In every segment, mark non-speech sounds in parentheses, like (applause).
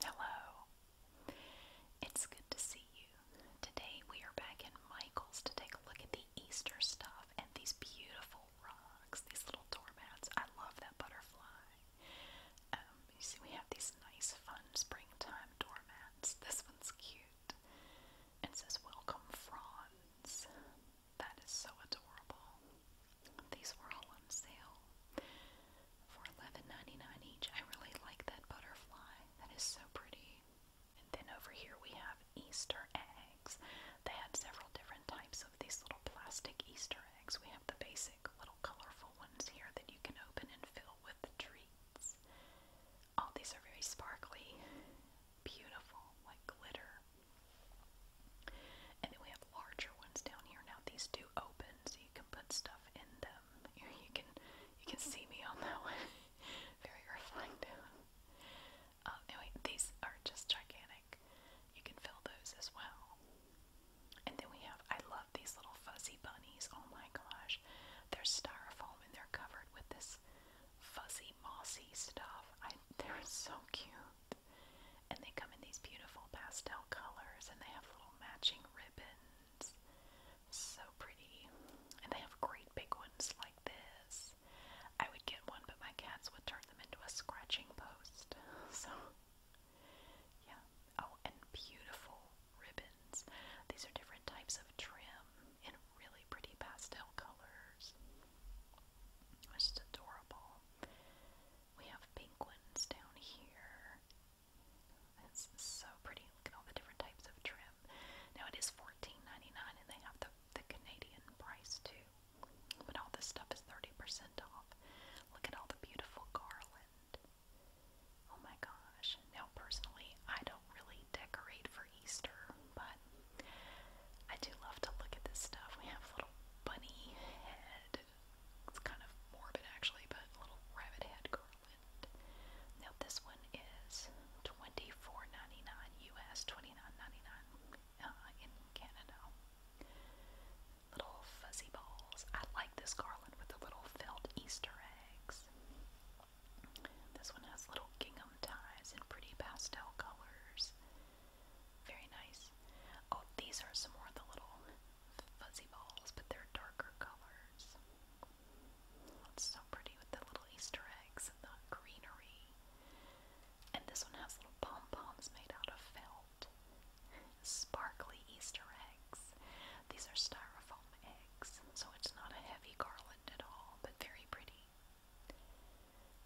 Hello. It's good to see you. Today we are back in Michael's to take a look at the Easter stuff and these beautiful rocks, these little doormats. I love that butterfly. Um, you see, we have these nice, fun springtime doormats. This one's cute. It says, Welcome Fronds. That is so adorable. These were all on sale for 11 each. I really like that butterfly. That is so pretty. And then over here we have Easter eggs. They had several different types of these little plastic Easter eggs. We have the basic little colorful ones here that you can open and fill with the treats. All these are very sparkly, beautiful, like glitter. And we have larger ones down here. Now these do open, so you can put stuff in them. (laughs) You, can you can see me on that one. (laughs) Very reflective. Uh, anyway, these are just gigantic. You can fill those as well. And then we have I love these little fuzzy bunnies. Oh my gosh. They're styrofoam and they're covered with this fuzzy mossy stuff. they're so cute. And they come in these beautiful pastel colors and they have little matching ribbons. So pretty. And they have great big ones like this. I would get one, but my cats would turn them into a scratching post. (laughs) So, yeah. Oh, and beautiful ribbons. These are different types of trim in really pretty pastel colors. just adorable. We have pink ones down here. It's so pretty. Look at all the different types of trim. Now it and they have the, the Canadian price too. But all this stuff is 30% off. Look at all the beautiful garland. Oh my gosh. Now personally, I don't really decorate for Easter, but I do love to look at this stuff. We have little bunny head it's kind of morbid actually, but a little rabbit head garland. Now this one is $24.99 US, $29.99 uh, in Canada. Little fuzzy balls. I like this garland with the little filled Easter eggs. This one has little gingham ties in pretty pastel colors. Very nice. Oh, these are some more of the little fuzzy balls, but they're darker colors. so pretty with the little Easter eggs and the greenery. And this one has little pom poms made out of felt. Sparkly Easter eggs. These are styrofoam eggs, so it's not a heavy garland at all, but very pretty.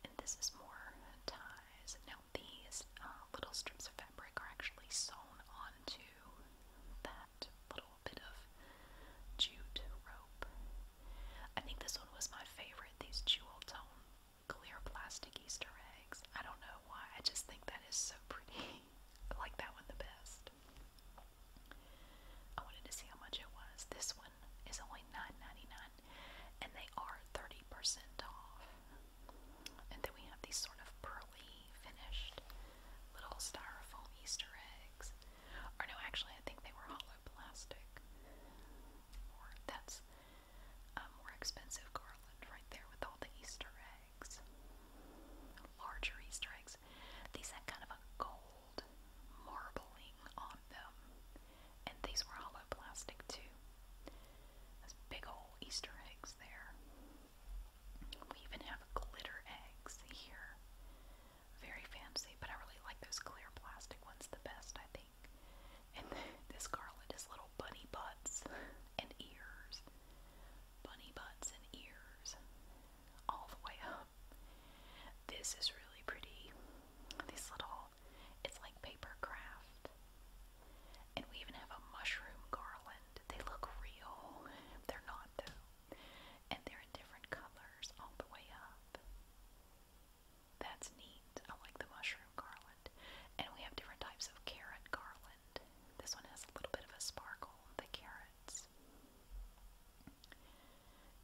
And this is more ties. Now, these uh, little strips of fabric are actually sewn onto that little bit of jute rope. I think this one was my favorite, these jewel tone clear plastic Easter eggs. I don't know why, I just think that is so pretty. (laughs) I like that one the best. I wanted to see how much it was. This one is only 9 dollars and they are 30% off. And then we have these sort of pearly finished little styrofoam Easter eggs. Or no, actually, I think they were hollow plastic. Or that's a uh, more expensive garland right there with all the Easter eggs. Larger Easter eggs. These had kind of a gold marbling on them. And these were hollow plastic too. That's big old Easter eggs there. We even have glitter eggs here. Very fancy, but I really like those clear plastic ones the best, I think. And (laughs) this garland is little bunny butts and ears. Bunny butts and ears. All the way up. This is really pretty. These little, it's like paper craft. And we even have a mushroom garland. They look real. They're not, though. And they're in different colors all the way up. That's neat. I like the mushroom garland. And we have different types of carrot garland. This one has a little bit of a sparkle, the carrots.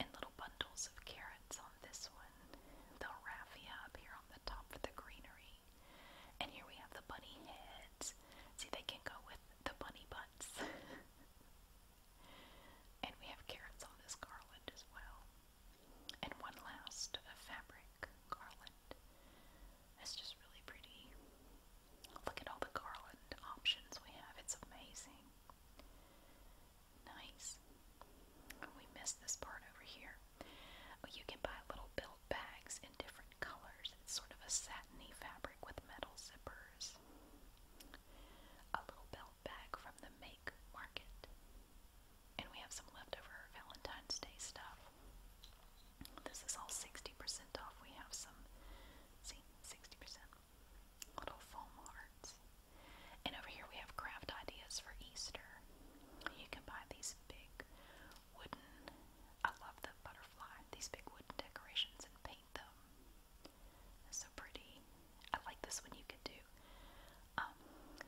And little bundles of carrots on this one. The raffia up here on the top for the greenery. And here we have the bunny heads. See, they can go with the bunny butts. (laughs) and we have carrots on this garland as well. And one last fabric garland. It's just really pretty. Look at all the garland options we have. It's amazing. Nice. We missed this part over here. You can buy little built bags in different colors. It's sort of a satiny fabric with metal zippers. A little belt bag from the Make Market. And we have some leftover Valentine's Day stuff. This is all 60% off. We have some, see, 60% little foam hearts. And over here we have craft ideas for Easter. You can buy these big wooden, I love the butterfly, these big wooden decorations and paint them. It's so pretty. I like this one you could do. Um,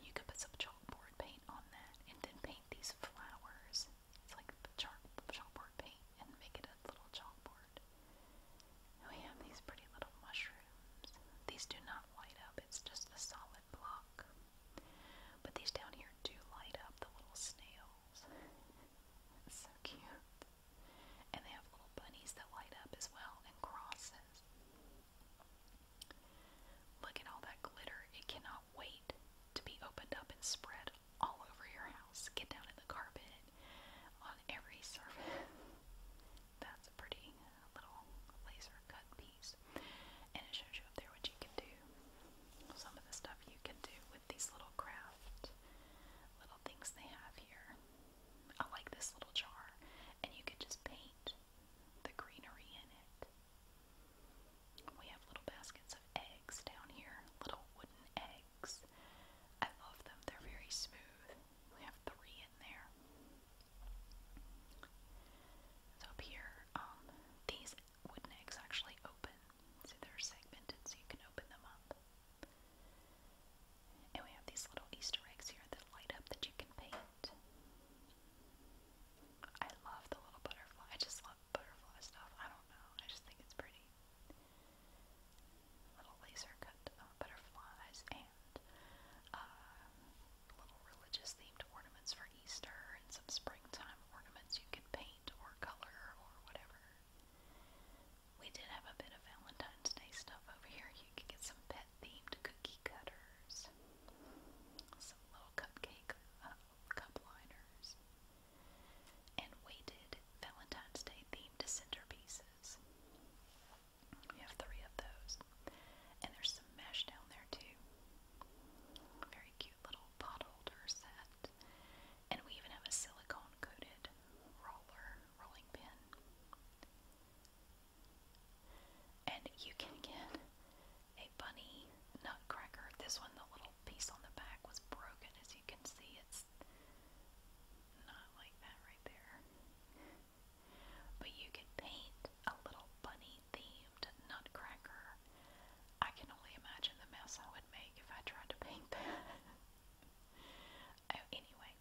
you could put some chalkboard paint on that and then paint these flowers. It's like the chalk, chalkboard paint and make it a little chalkboard. And we have these pretty little mushrooms. These do not light up, it's just a solid solid block. But these down here do light up the little snails. it's (laughs) so cute. And they have little bunnies that light up as well and crosses. Look at all that glitter. It cannot wait to be opened up and spread all over your house. Get down in the carpet on every surface. (laughs) That's a pretty a little laser cut piece, and it shows you up there what you can do. Some of the stuff you can do with these little craft little things they have here. I like this little jar, and you can just paint the greenery in it. We have little baskets of eggs down here, little wooden eggs. I love them, they're very smooth. We have three in there. So up here, um, these wooden eggs actually open, so they're segmented so you can open them up. And we have these little Easter eggs here that light up that you can paint. I love the little butterfly. I just love butterfly stuff. I don't know. I just think it's pretty. Little laser cut uh, butterflies and uh, little religious themed ornaments for Easter and some springtime ornaments you can paint or color or whatever. We did have a bit of Valentine's Day stuff over here. You could get some pet themed cookie cutters, some little cupcake uh, cup liners, and we did Valentine's Day themed centerpieces. We have three of those. And there's some mesh down there too. Very cute little pot holder set. And we even have a silicone coated roller, rolling pin. And you can get a bunny nutcracker. This one, the little piece on the back was broken, as you can see. It's not like that right there. But you can paint a little bunny themed nutcracker. I can only imagine the mess I would make if I tried to paint that. (laughs) Oh, anyway,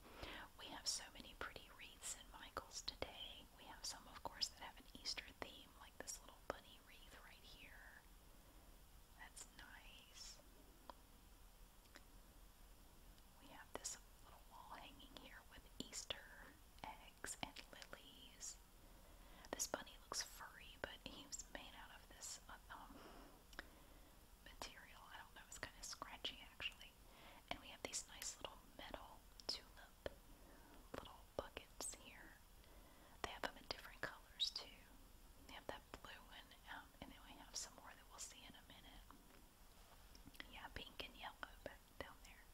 we have so many pretty wreaths in Michael's today. We have some, of course, that have an Easter theme, like this little bunny wreath right here. That's nice. We have this little wall hanging here with Easter eggs eggs and lilies. This bunny looks furry, but he was made out of this uh, um, material. I don't know, it's kind of scratchy actually. And we have these nice little metal tulip little buckets here. They have them in different colors too. They have that blue one, um, and then we have some more that we'll see in a minute. Yeah, pink and yellow, but down there.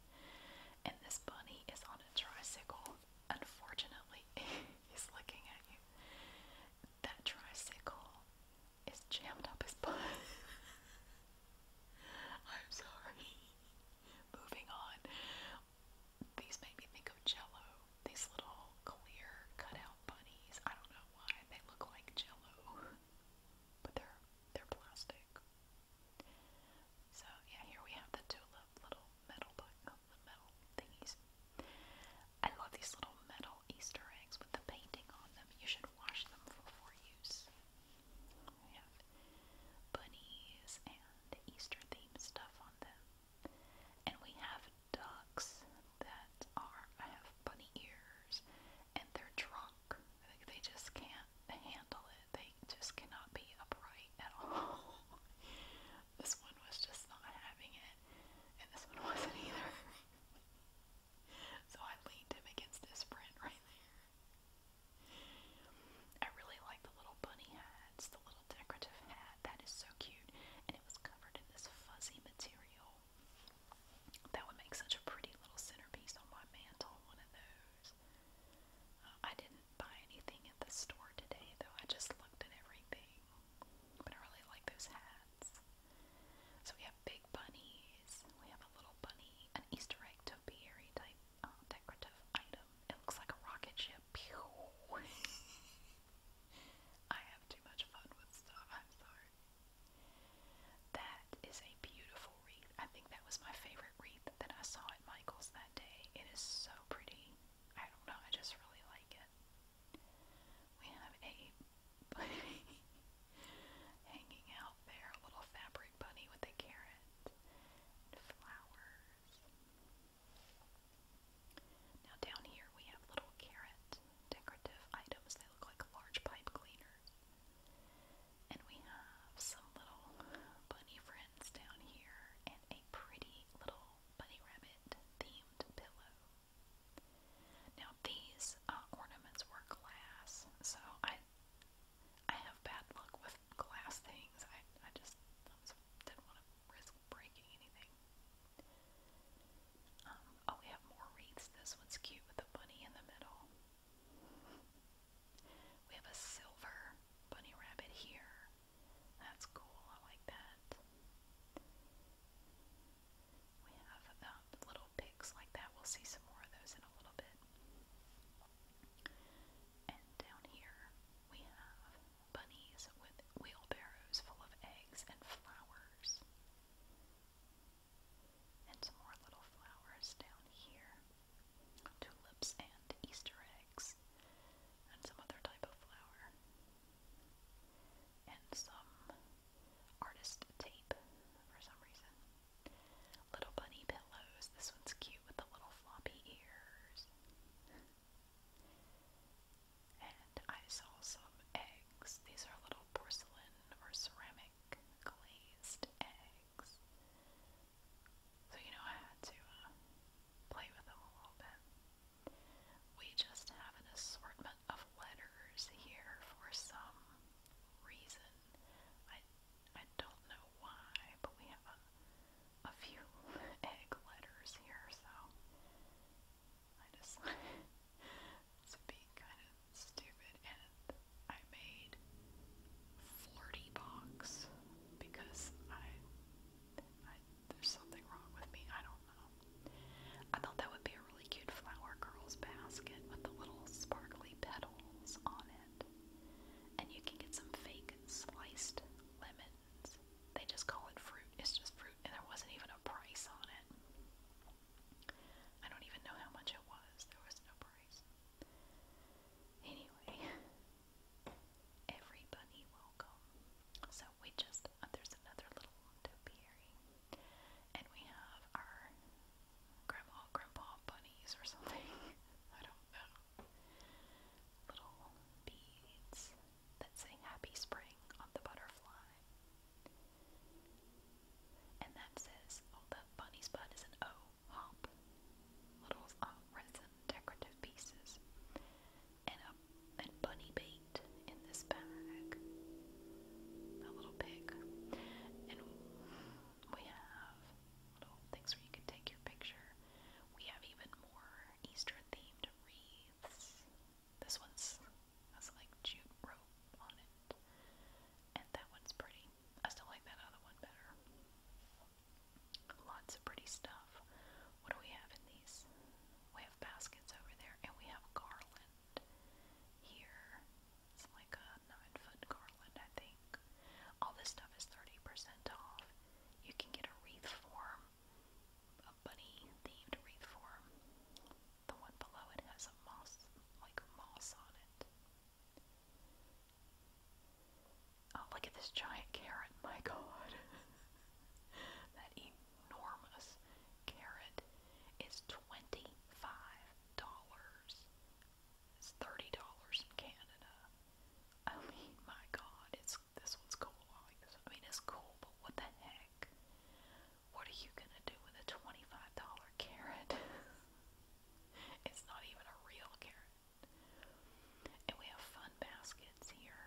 And this bunny is on a tricycle. Unfortunately, (laughs) he's looking at you. That tricycle is jammed up his butt. (laughs) I'm sorry. Moving on. These make me think of jello. These little clear cutout bunnies. I don't know why they look like jello. (laughs) But they're they're plastic. So yeah, here we have the tulip little metal book, the metal thingies. I love these little metal Easter eggs with the painting on them. You should wash them before use. We have bunnies and Easter themed stuff on them. And we have ducks that are I have bunny ears and their trunk. I think they just can't handle it they just cannot be upright at all. (laughs) this one was just not having it, and this one (laughs) wasn't either. so I leaned him against his friend right there. I really like the little bunny hats, the little decorative hat. That is so cute, and it was covered in this fuzzy material. That would make such a pretty little centerpiece on my mantle, one of those. I didn't buy anything at the store today, though. I just looked at everything. But I really like those hats. So we have big bunnies. We have a little bunny, an Easter egg topiary type uh, decorative item. It looks like a rocket ship. Pew! (laughs) I have too much fun with stuff. I'm sorry. That is a beautiful beautiful wreath. I think that was my favorite wreath that I saw at Michael's that day. It is so pretty. I don't know, I just really like it. We have a bunny (laughs) hanging out there, a little fabric bunny with a carrot and flowers. Now down here we have little carrot decorative items. They look like large pipe cleaners. And we have some little bunny friends down here and a pretty little bunny rabbit themed pillow. Now these uh, ornaments were glass, so I I have bad luck with glass things. I I just didn't want to risk breaking anything. Um, oh, we have more wreaths. This one's cute with a bunny in the middle. We have a silver bunny rabbit here. That's cool. I like that. We have um, little pigs like that. We'll see some more of those in a little bit. And down here we have bunnies with wheelbarrows full of eggs and flowers and some more little flowers down here. Tulips and Easter eggs and some other type of flower. And some artist tape for some reason. Little bunny pillows. This one's cute with the little floppy ears. And I saw some eggs. These are little porcelain or ceramic glazed eggs. So, you know, I had to uh, play with them a little bit. We just have an assortment of letters here for some reason. I, I don't know why, but we have a, a few (laughs) egg letters here, so I decided to be kind of stupid and I made flirty box because I, I there's something wrong with me. I don't know. I thought that would be a really cute flower girls basket with the little sparkly petals on it. And you can get some fake sliced lemons. They just call it fruit. It's just fruit, and there wasn't even a price on it. I don't even know how much it was. There was no price. Anyway, everybody welcome. So we just, uh, there's another little topiary. And we have our grandma, grandpa bunnies or something. (laughs) I don't know. Little beads that say Happy Spring on the butterfly. And that says, oh, the bunny's butt is an O hop. Little uh, resin decorative pieces. And a and bunny bait in this bag. A little pig. And we have little things where you can take your picture. We have even more Easter themed wreaths. This one's has like jute rope on it. And that one's pretty. I still like that other one better. Lots of pretty stuff. What do we have in these? We have baskets over there, and we have garland here. It's like a nine foot garland, I think. All this stuff is 30% off. You can get a wreath form, a bunny themed wreath form. The one below it has a moss, like moss on it. Oh, look at this giant carrot. My god. (laughs) that enormous carrot is $25. It's $30 in Canada. I my god, it's this one's cool. I mean, it's cool, but what the heck? What are you gonna do with a $25 carrot? (laughs) it's not even a real carrot. And we have fun baskets here.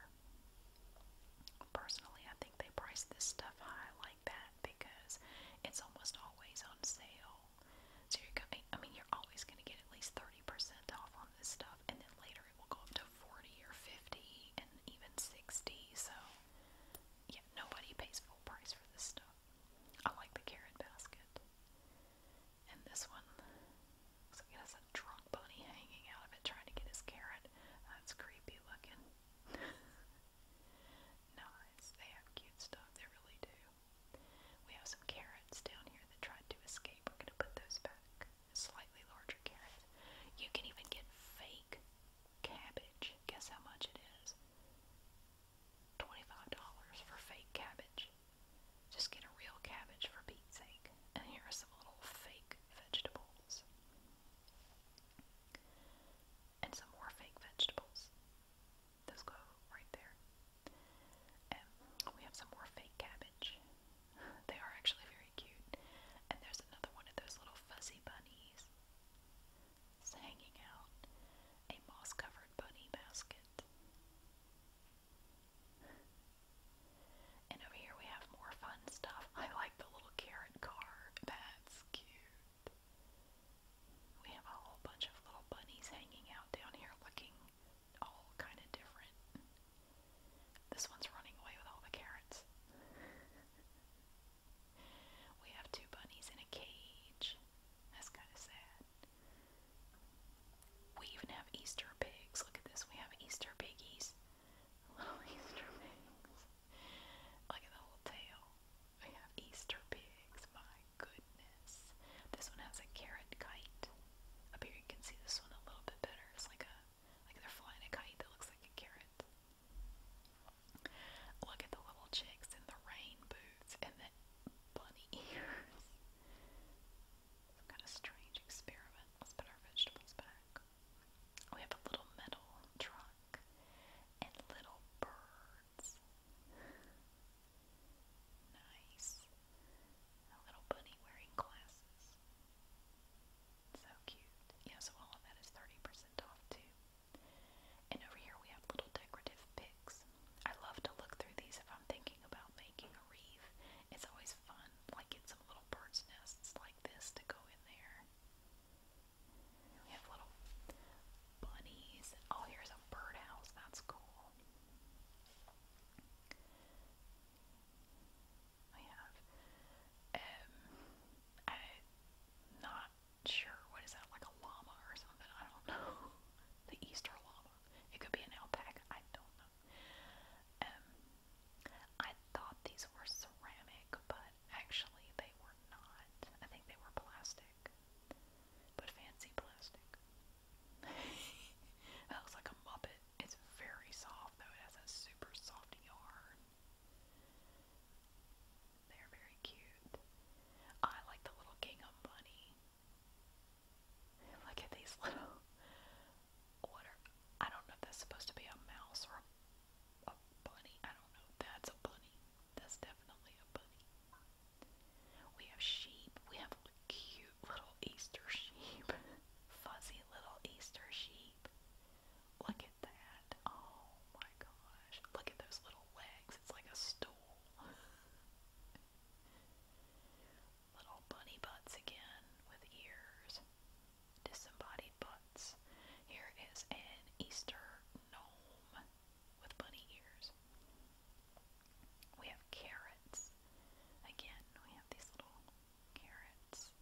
Personally, I think they price this stuff high like that because it's almost always on sale. So you're going I mean you're always gonna get at least 30% off on this stuff and then later it will go up to 40 or 50 and even 60. So yeah, nobody pays full price for this stuff. I like the carrot basket. And this one looks like has a drunk bunny hanging out of it trying to get his carrot. That's uh, creepy looking. (laughs) nice. They have cute stuff. They really do. We have some carrots down here that tried to escape. We're going to put those back. Slightly larger carrots. You can even get fake cabbage. Guess how much it is? $25 for fake cabbage. Just get a real cabbage for Pete's sake. And here are some little fake vegetables. And some more fake vegetables. Those go right there. And we have some more fake cabbage. (laughs) They are actually very cute. And there's another one of those little fuzzy bunnies hanging out a moss covered bunny basket. And over here we have more fun stuff. I like the little carrot car. That's cute. We have a whole bunch of little bunnies hanging out down here looking all kind of different. This one's running away with all the carrots. (laughs) we have two bunnies in a cage. That's kind of sad. We even have Easter pigs. Look at this. We have Easter piggies. (laughs) Little Easter pigs. Look at the whole tail. We have Easter pigs. My goodness. This one has a carrot kite. Up here you can see this one a little bit better. It's like a like they're flying a kite that looks like a carrot. Look at the little chicks in the rain boots and the bunny ears. kind of strange experiment. Let's put our vegetables back. We have a little metal truck and little birds. Nice. A little bunny wearing glasses. So cute. Yeah, so all of that is 30% off too. And over here we have little decorative picks. I love to look through these if I'm thinking about making a wreath. It's always fun, like get some little bird's nests like this to go in there. We have little bunnies. Oh, here's a birdhouse. That's cool. We have um, I not sure, what is that, like a llama or something? I don't know. (laughs) The Easter llama. It could be an alpaca, I don't know. Um, I thought these were ceramic, but actually they were not. I think they were plastic, but fancy plastic. (laughs) that looks like a muppet. It's very soft, though. It has a super soft yarn. They're very cute. I like the little gingham bunny. Look at these (laughs) little. What are. I don't know if that's supposed to be a mouse or a, bunny. I don't know. That's a bunny. That's definitely a bunny. We have sheep. We have cute little Easter sheep. (laughs) Fuzzy little Easter sheep. Look at that. Oh my gosh. Look at those little legs. It's like a stool. Little bunny butts again with ears. Disembodied butts. Here is an Easter gnome with bunny ears. We have carrots. Again, we have these little carrots.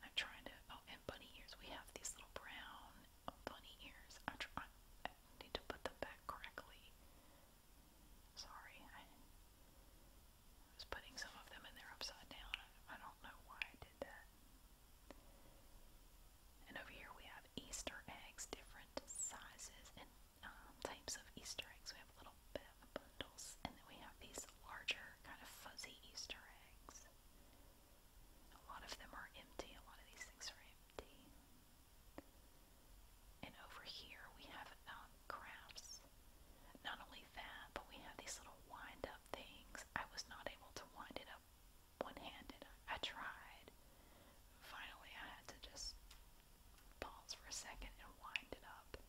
I'm trying to. Oh, and bunny ears. We have these little brown bunny ears. I'm tr I need to put them back correctly. Sorry, I was putting some of them in there upside down. I, I don't know why I did that. And over here we have Easter eggs, different sizes and um, types of Easter eggs. We have little bit of bundles, and then we have these larger, kind of fuzzy Easter eggs. A lot of them are empty. A lot of these things are empty. And over here we have um, Not only that, but we have these little wind up things. I was not able to wind it up one handed. I tried. Finally, I had to just pause for a second and wind it up.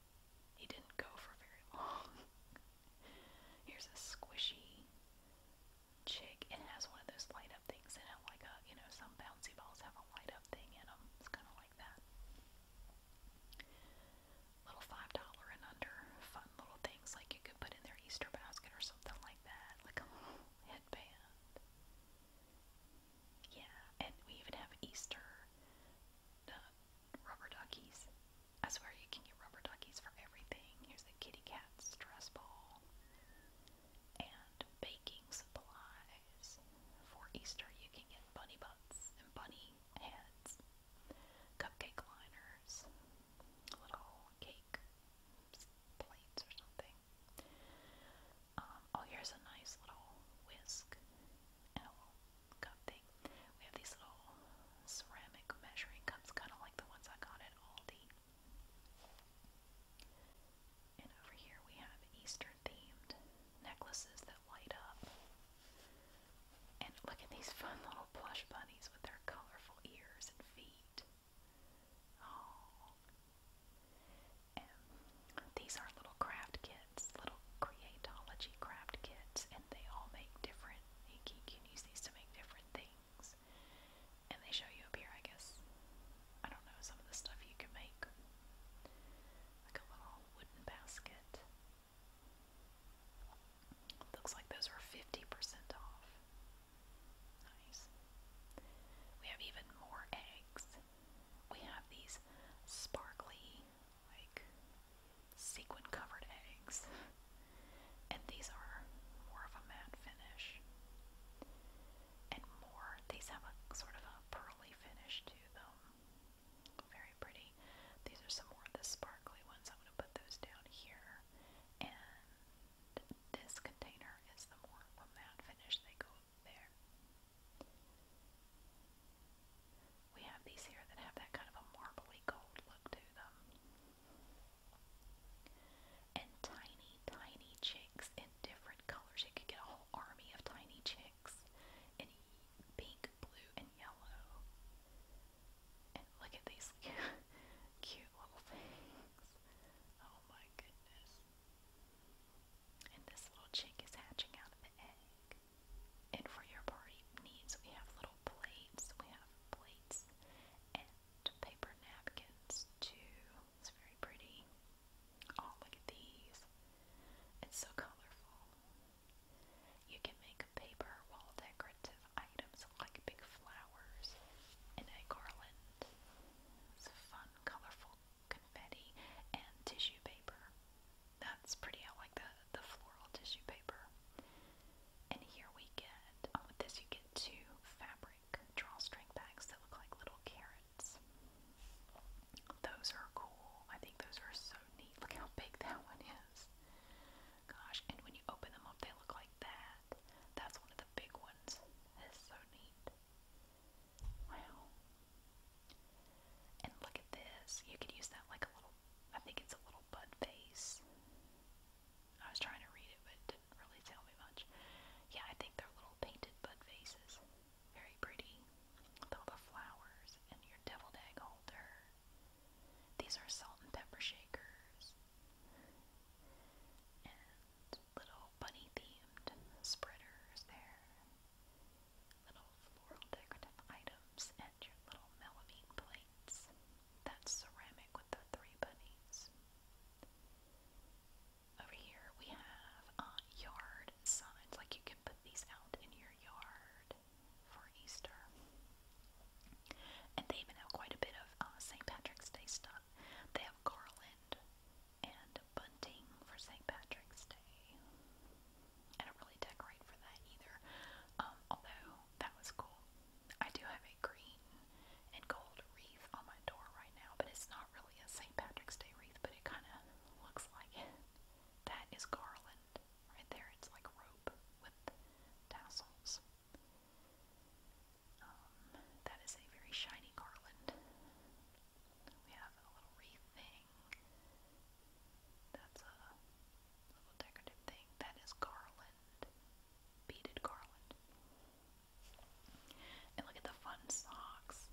He didn't go for very long. (laughs) Here's a squishy chick. It has one of those light up things in it, like a you know some bouncy balls have a light up thing in them. It's kind of like that. Little five dollar and under fun little things like you could put in their Easter basket or something like that, like a little headband. Yeah, and we even have Easter uh, rubber duckies. I swear you can get rubber duckies for everything. Here's the kitty cat stress ball and baking supplies. For Easter, you can get bunny butts and bunny heads, cupcake liners, little cake plates or something. Um, oh, here's a nice little whisk and a little cup thing. We have these little ceramic measuring cups, kind of like the ones I got at Aldi. And over here we have Easter themed necklaces that light up. And look at these (laughs) fun little plush bunnies with their colorful ears and feet. Oh. these are little craft kits, little Creatology craft kits, and they all make different. You can use these to make different things. And they show you up here, I guess. I don't know, some of the stuff you can make. Like a little wooden basket. Looks like those are 50% off. Nice. We have even more eggs. We have these sparkly, like sequin covered eggs. (laughs) and these are more of a matte finish. And more, these have a sort of a pearly finish to them. Very pretty. These are some more of the sparkly ones. I'm going to put those down here. And this container is the more of a matte finish. They go there. We have these here that have that kind of a marbly gold look to them. And tiny, tiny chicks in different colors. You could get a whole army of tiny chicks in pink, blue, and yellow. And look at these (laughs) cute little things. Oh my goodness. And this little chick is hatching out of the egg. And for your party needs, we have little plates. We have plates paper napkins too. It's very pretty. Oh, look at these. It's so colorful. You can make paper wall decorative items like big flowers and a garland. It's fun, colorful confetti and tissue paper. That's pretty. I like the, the floral tissue paper. And here we get, oh, with this you get two fabric drawstring bags that look like little carrots. Those are cool. I think those are so neat. Look how big that (laughs) one is. Gosh, and when you open them up, they look like that. That's one of the big ones. That is so neat. Wow. And look at this. You could use that like a little, I think it's a little bud vase. I was trying to read it, but it didn't really tell me much. Yeah, I think they're little painted bud faces, Very pretty. all the flowers and your deviled egg holder. These are salt and pepper shakers. And little bunny themed spreaders there. Little floral decorative items and your little melamine plates. That's ceramic with the three bunnies. Over here we have uh, yard signs, like you can put these out in your yard for Easter. And they even have quite a bit of uh, St. Patrick's Day stuff. They have garland and bunting for St. Patrick's Day. I don't really decorate for that either, um, although that was cool. I do have a green and gold wreath on my door right now, but it's not really a St. Patrick's Day wreath, but it kind of looks like it. That is garland right there. It's like rope with tassels. Um, that is a very shiny garland. We have a little wreath thing. That's a little decorative thing. That is garland. Beaded garland. And look at the fun socks.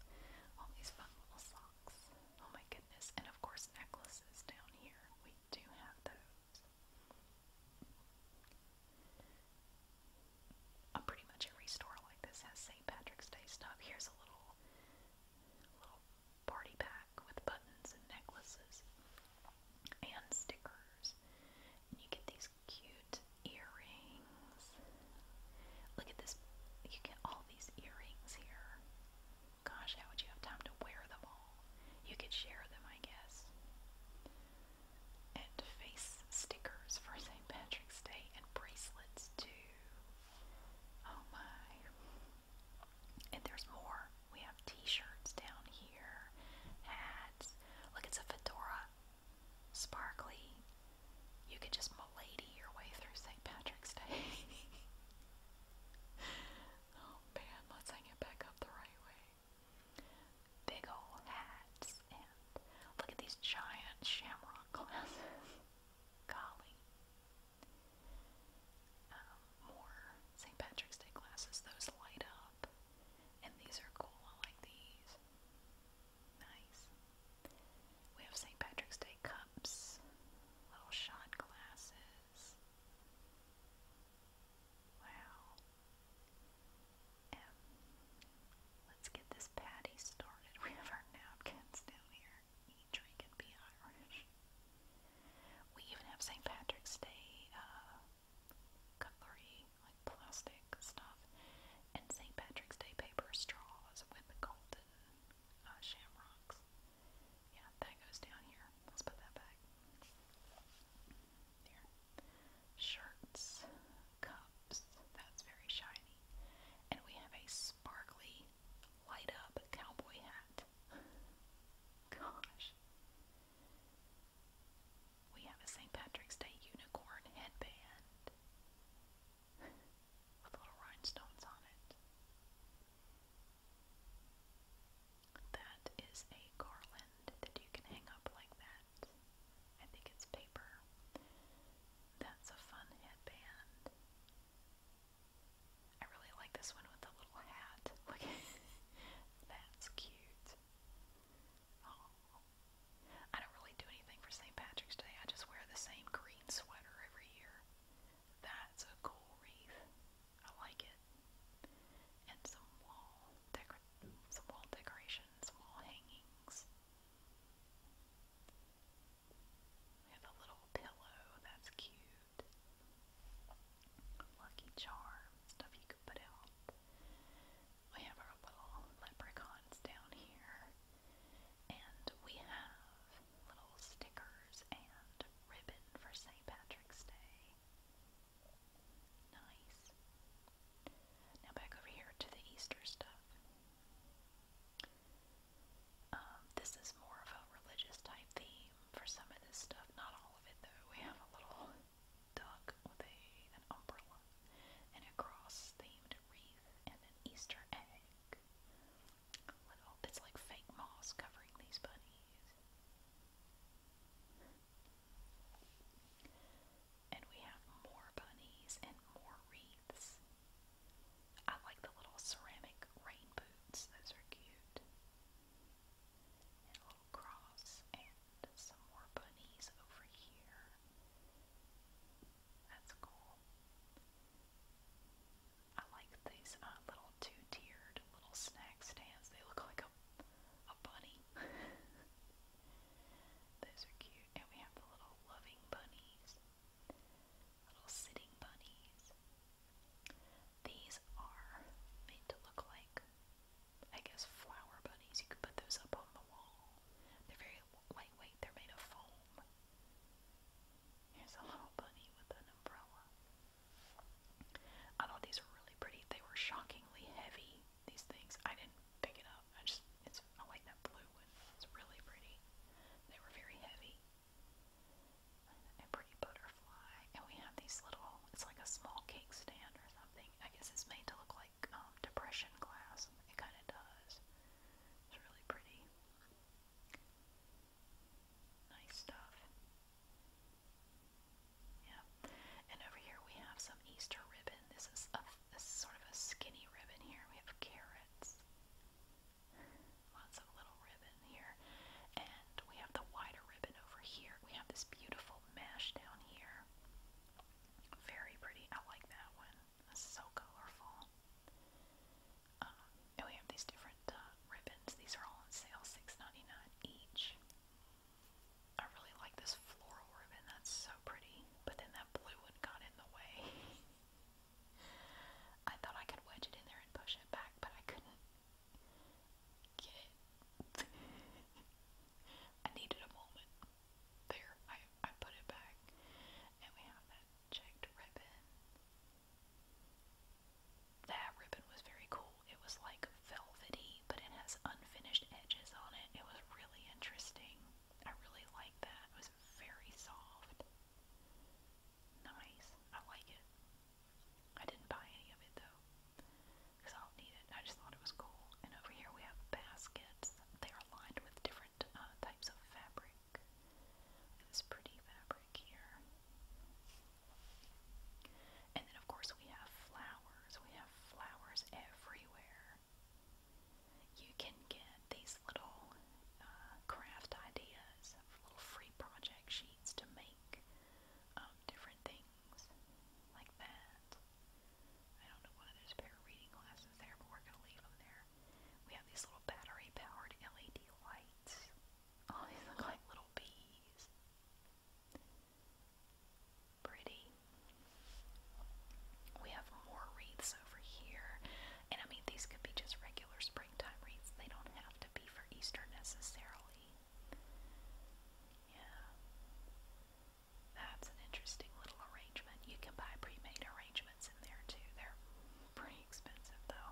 All these fun little socks. Oh my goodness. And of course, necklaces down here. We do have those. pretty much every store like this has St. Patrick's Day stuff. Here's a little, little party pack with buttons and necklaces and stickers. And you get these cute earrings. Look at this. You get all these earrings here. Gosh, how would you have time to wear them all? You could share them, I guess. And face stickers for St. Patrick's Day and bracelets too. Oh my. And there's more. We t-shirts down here, hats. Look, it's a fedora, sparkly. You could just milady your way through St. Patrick's Day. (laughs) oh man, let's hang it back up the right way. Big old hats, and look at these giant shamrock glasses. (laughs) Golly. Um, more St. Patrick's Day glasses, those light up. And these are cool. I like these. Nice. We have St. Patrick's Day cups, little shot glasses. Wow. let's get this patty started. (laughs) We have our napkins down here. Eat, drink, and be Irish. We even have St. Patrick's Day uh, cutlery, like plastic stuff, and St. Patrick's Day paper straws with the golden uh, shamrocks. Yeah, that goes down here. Let's put that back. There. Shirts, cups, that's very shiny. And we have a sparkly, light up cowboy hat. (laughs) Gosh. We have a St. Patrick's Day unicorn headband (laughs) with little rhinestones on it. That is a garland that you can hang up like that. I think it's paper. That's a fun headband. I really like this one with the little hat. (laughs) that's cute. I don't really do anything for St. Patrick's Day. I just wear the same green sweater every year. That's a cool wreath. I like it. And some wall decor some wall decorations, wall hangings. We have a little pillow that's cute. Lucky charms, stuff you could put out. We have our little leprechauns down here, and we have little stickers and ribbon for St. Patrick's Day. Nice. Now back over here to the Easter stuff. Um, this is more of a religious type theme for some of this stuff. Not all of it though. We have a little duck with a, an umbrella and a cross themed wreath and an Easter egg. it's like fake moss covering these bunnies. And we have more bunnies and more wreaths. I like the little ceramic rain boots, those are cute and a little cross and some more bunnies over here. That's cool. I like these uh, little two-tiered little snack stands. They look like a a bunny. (laughs) Those are cute. And we have the little loving bunnies. Little sitting bunnies. These are made to look like I guess, flower bunnies. You could put those up on the wall. They're very lightweight, they're made of foam. Here's a little bunny with an umbrella. I thought these were really pretty. They were shockingly heavy, these things. I didn't pick it up. I just, it's, I like that blue one. It's really pretty. They were very heavy. And pretty butterflies butterfly, and we have these little, it's like a small cake stand or something. I guess it's made to look like um, depression glass. It kind of does. It's really pretty. Nice stuff. Yeah. And over here we have some Easter ribbon. This is a this is sort of a skinny ribbon here. We have carrots. Lots of little ribbon here. And we have the wider ribbon over here. We have this beautiful little down here. Very pretty. I like that one. so colorful. Um, and we have these different uh, ribbons. These are all on sale, $6.99 each. I really like this floral ribbon. That's so pretty. But then that blue one got in the way. (laughs) I thought I could wedge it in there and push it back, but I couldn't. Get (laughs) it. I needed a moment. There, I, I put it back. And we have that checked ribbon. That ribbon was very cool. It was like velvety, but it has unfinished edges on it. It was really interesting. I really like that. It was very soft. Nice. I like it. I didn't buy any of it though because I need it. I just thought it was cool. And over here we have baskets. They are lined with different uh, types of fabric. This pretty fabric here. And then, of course, we have flowers. We have flowers everywhere. You can get these little uh, craft ideas, little free project sheets to make um, different things like that. I don't know why there's a pair of reading glasses there, but we're gonna leave them there. We have these little battery-powered LED lights. (laughs) Oh, these look like little bees. Pretty. We have more wreaths over here. And I mean, these could be just regular springtime wreaths. They don't have to be for Easter necessarily. Yeah. That's an interesting little arrangement. You can buy pre-made arrangements in there too. They're pretty expensive though.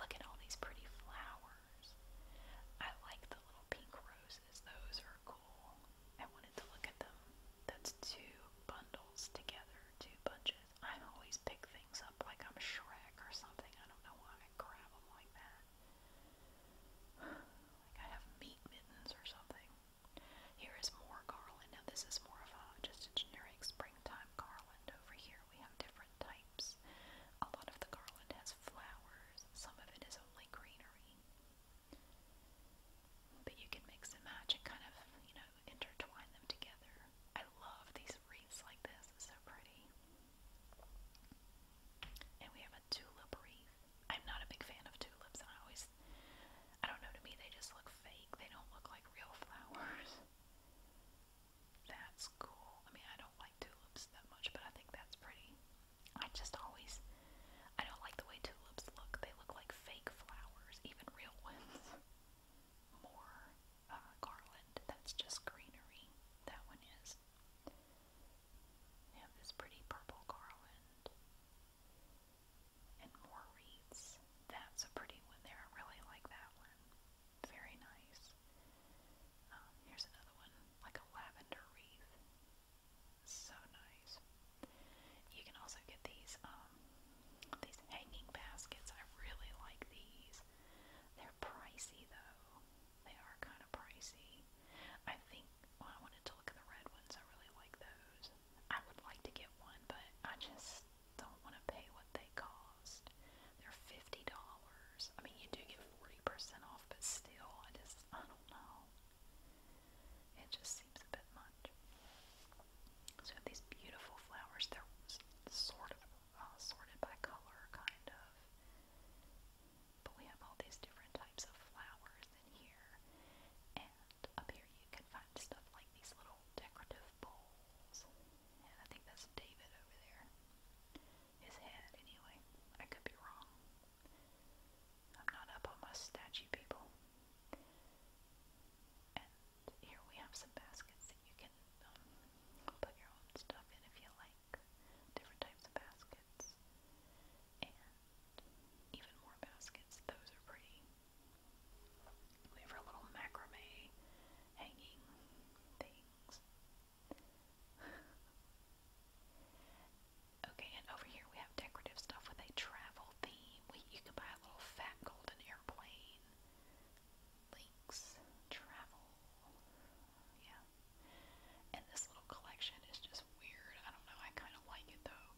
Look at all these pretty flowers. I like the little pink roses. Those are cool. I wanted to look at them. That's two bundles together, two bunches. I always pick things up like I'm Shrek or something. I don't know why I grab them like that. Like I have meat mittens or something. Here is more garland. Now this is more of a just a generic springtime garland. Over here we have different types. A lot of the garland has flowers. Some of it is only greenery. But you can mix and match and kind of, you know, intertwine them together. I love these wreaths like this. It's so pretty. And we have a tulip wreath. I'm not a big fan of tulips. I always, I don't know, to me they just look fake. They don't look like real flowers. (laughs) That's cool. I mean, I don't like tulips that much, but I think that's pretty. I just always, I don't like the way tulips look. They look like fake flowers, even real ones. (laughs) More uh, garland. That's just greenery. That one is leaves. We have this pretty purple garland and more wreaths. That's a pretty one there. I really like that one. Very nice. Um, here's another one, like a lavender wreath. So nice. You can also get these um, these hanging baskets. I really like these. They're pricey though. They are kind of pricey. I think well, I wanted to look at the red ones. I really like those. I would like to get one, but I just don't want to pay what they cost. They're fifty dollars. I mean, you do get forty percent off, but still, I just I don't know. It just seems a bit much. So these beautiful flowers, they're sort of uh, sorted by color, kind of. But we have all these different types of flowers in here. And up here you can find stuff like these little decorative bowls. And I think that's David over there. His head, anyway. I could be wrong. I'm not up on my statue people. And here we have some baskets that you can um, put your own stuff in if you like back, different types of baskets, and even more baskets. Those are pretty. We have our little macrame hanging things. (laughs) okay, and over here we have decorative stuff with a travel theme. you can buy a little fat golden airplane. Links, travel, yeah. And this little collection is just weird. I don't know. I kind of like it though.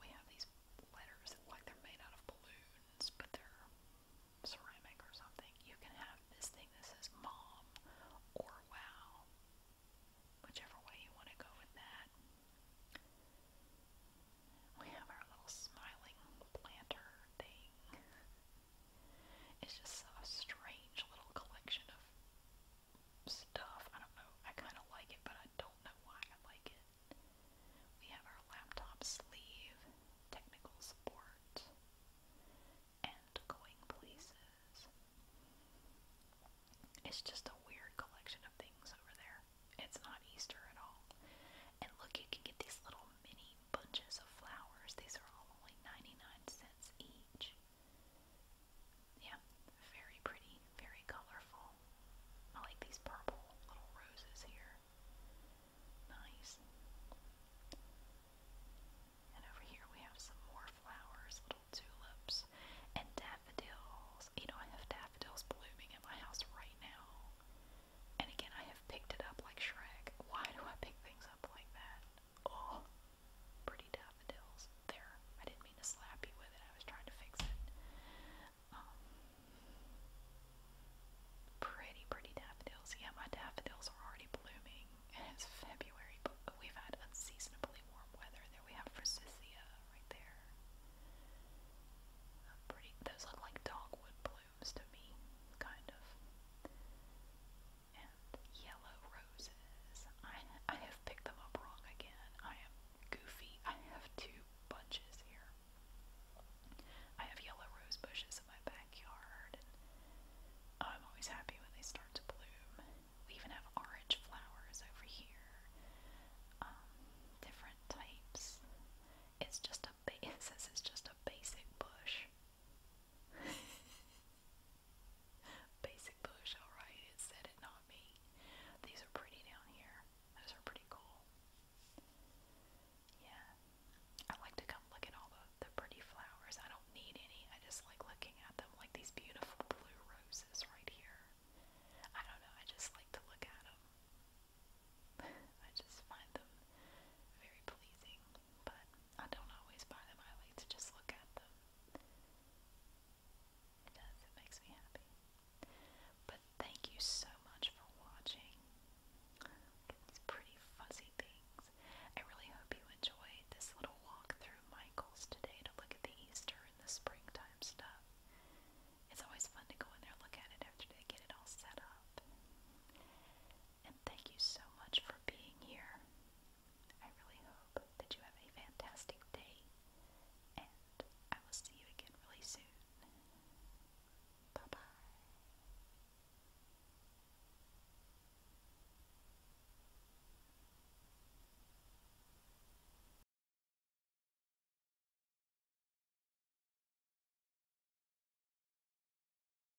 We have these letters that like they're made out of balloons, but they're ceramic or something. You can have this thing that says mom or wow. Whichever way you want to go with that. We have our little smiling planter thing. It's just a strange little collection of stuff. I don't know. I kind of like it, but I don't know why I like it. We have our laptop sleeve, technical support, and going places. It's just a weird collection of things over there. It's not Easter at all. And look, you can get these little many bunches of flowers. These are all only 99 cents each. Yeah, very pretty, very colorful. I like these purple little roses here. Nice. And over here we have some more flowers, little tulips, and daffodils. You know, I have daffodils blooming in my house right now. And again, I have picked it up like Shrek. Why do I pick things up like that? Oh, pretty daffodils. There, I didn't mean to slap you with it. I was trying to fix it. Um, pretty, pretty daffodils. Yeah, my daffodils are already blooming, and (laughs) it's February, but we've had unseasonably warm weather. There we have Forsythia right there. Uh, pretty. Those look like dogwood blooms to me, kind of yellow roses. I I have picked them up wrong again. I am goofy. I have two bunches here. I have yellow rose bushes in my backyard, I'm always happy when they start to bloom. We even have orange flowers over here, um, different types. It's just a (laughs) it says it's just a basic bush, (laughs) Basic bush, alright, it not me. These are pretty down here. Those are pretty cool. Yeah. I like to come look at all the, the pretty flowers. I don't need any. I just like looking at them, like these beautiful blue roses right here. I don't know. I just like to look at them. (laughs) I just find them very pleasing. But I don't always buy them. I like to just look at them. It does. It makes me happy. But thank you so much for watching. Look pretty fuzzy things. I really hope you enjoyed this little walk through Michael's today to look at the Easter and the springtime stuff. It's always fun to go in there look at it after they get it all set up and thank you so much for being here. I really hope that you have a fantastic day, and I will see you again really soon. Bye bye.